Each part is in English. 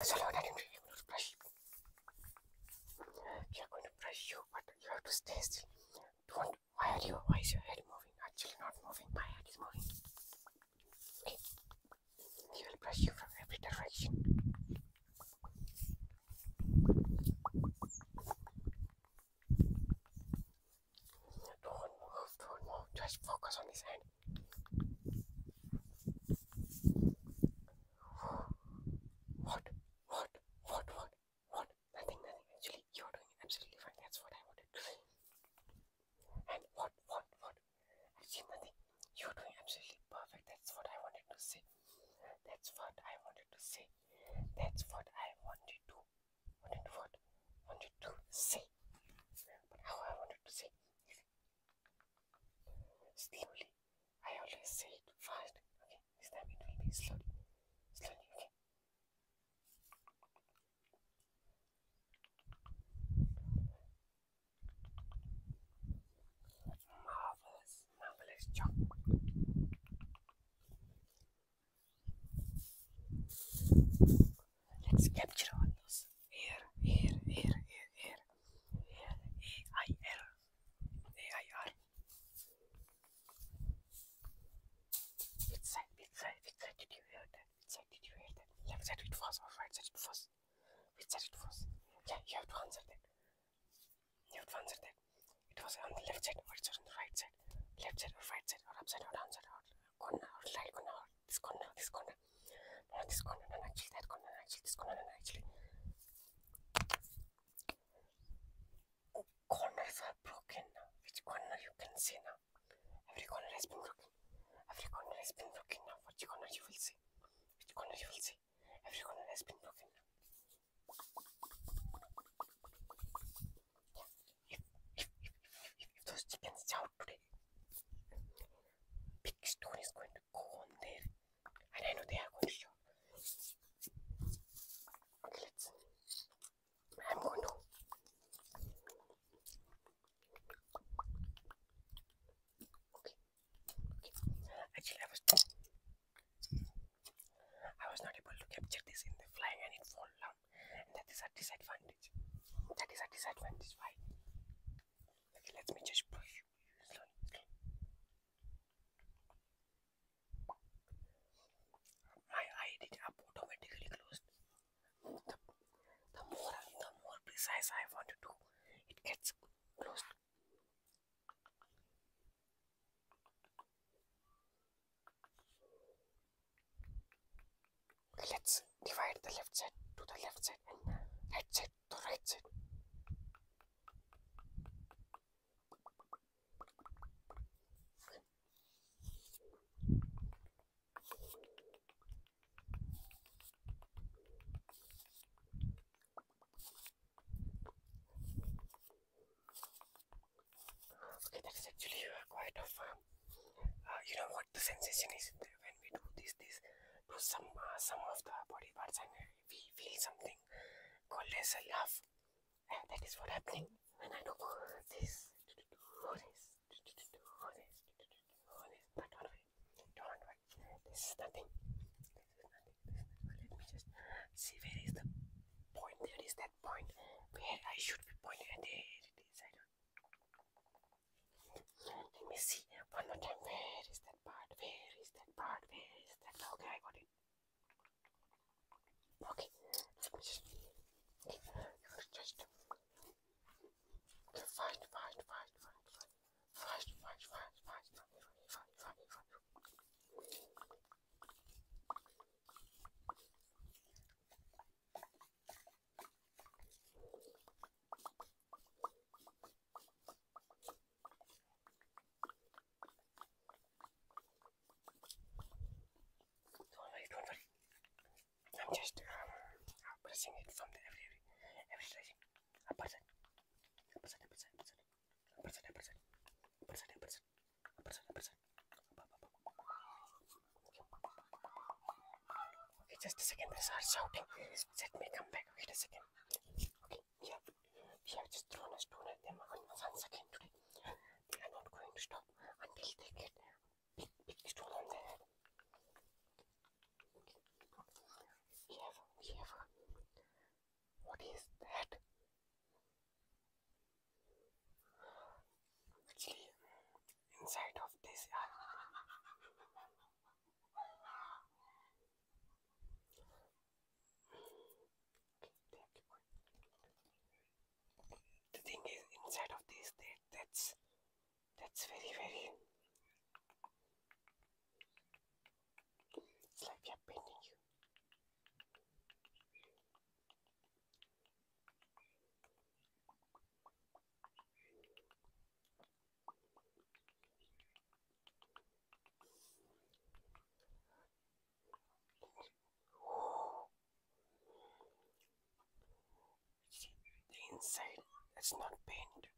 So I am going to are going to brush you, but you have to stay still. Don't. Why are you? Why is your head moving? Actually, not moving. My head is moving. Okay. He will brush you from every direction. Don't move. Don't move. Just focus on his hand. What? What? What? What? What? Nothing, nothing. Actually, you're doing absolutely fine. That's what I wanted to see. And what? What? What? nothing. You're doing absolutely perfect. That's what I wanted to say. That's what I wanted to say. That's what I wanted to. Wanted what? Wanted to say. But how I wanted to say slowly. I always say it fast. Okay, this time it will be slowly. Slowly, okay. Marvelous, marvelous job. Let's capture all those here, here, here, here, here, here, A-I-R, A-I-R. Which side, which side, which side did you hear that? Which side did you hear that? Left side it was or right side it was? Which side it was? Yeah, you have to answer that. You have to answer that. It was on the left side or it was on the right side. Left side or right side or upside or downside or corner or right corner or తీసుకున్నా తీసుకున్నా నేను తీసుకున్నా నా నచ్చి తీసుకున్నా నచ్చి తీసుకున్నా నా నచ్చి Corners are broken now. Which corner you can see now? Every corner has been broken. Every corner has been broken now. Which corner you will see? Which corner you will see? Every corner has been broken now. If, if, if, if, if, if those chickens shout today, big stone is going And I am going to. I was. not able to capture this in the flying and it fall down. that is a disadvantage. That is a disadvantage. Why? let me just push slowly, slowly. My eye automatically closed. The, more the more precise I want to do, it gets closed. let's divide the left side to the left side and right side 13. that is actually quite of, uh, you know what the sensation is when we do this this to some uh, some of the body parts and we feel something called as a love and that is what happening when I do this this this but don't worry don't worry this is nothing this is nothing let me just see where is the point there is that point where I should be pointing and there it is I don't let me see one more time. Where is that part? Where is that part? Where is that? Okay, I got it. Okay, let me just. Okay, just okay, find, find, find, find, find, find, find, find, find, find, find, find, find. Don't worry, don't worry. I'm just um, uh, pressing it from the every every every direction. A person, a person, a person, a person, a person, a person, a person, a person, a person, a person. A person, a person. Okay, just a second. They are shouting. Let me come back. Wait a second. Okay, we have, we just thrown a at them once again today. They are not going to stop until they get big, big stone on their head. We what is that? Actually, inside of this are uh, the thing is inside of this that's that's very very it's like we are you. See, the inside that's not painted.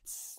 It's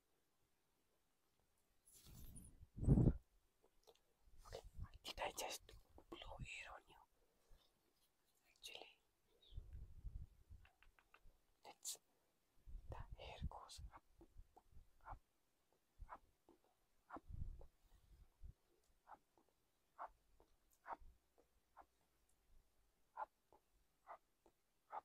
Okay, did I just blow air on you? Actually, it's the hair goes up, up, up, up, up, up, up, up, up, up, up.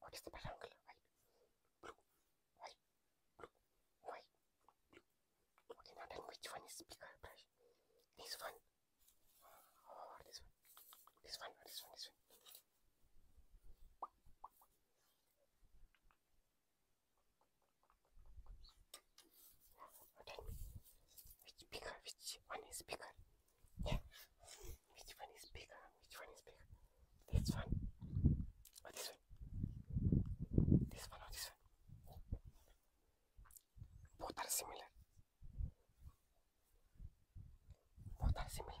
What is the background color? White, blue, white, blue, white, blue. Okay, now then which one is bigger brush? This one or oh, this one? This one or this one? This one. Now tell me, which bigger? Which one is bigger? Yeah. Which one is bigger? Which one is bigger? This one. Or oh, this one? This one or oh, this one? Both are similar. Both are similar.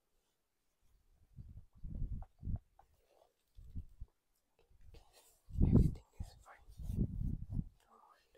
Everything is fine. Don't worry,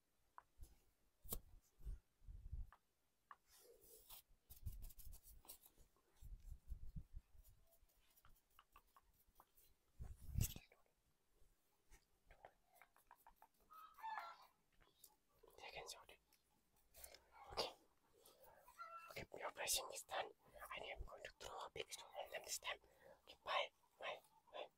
pressing this time and I am going to throw a big stone at them this time. bye, bye, bye.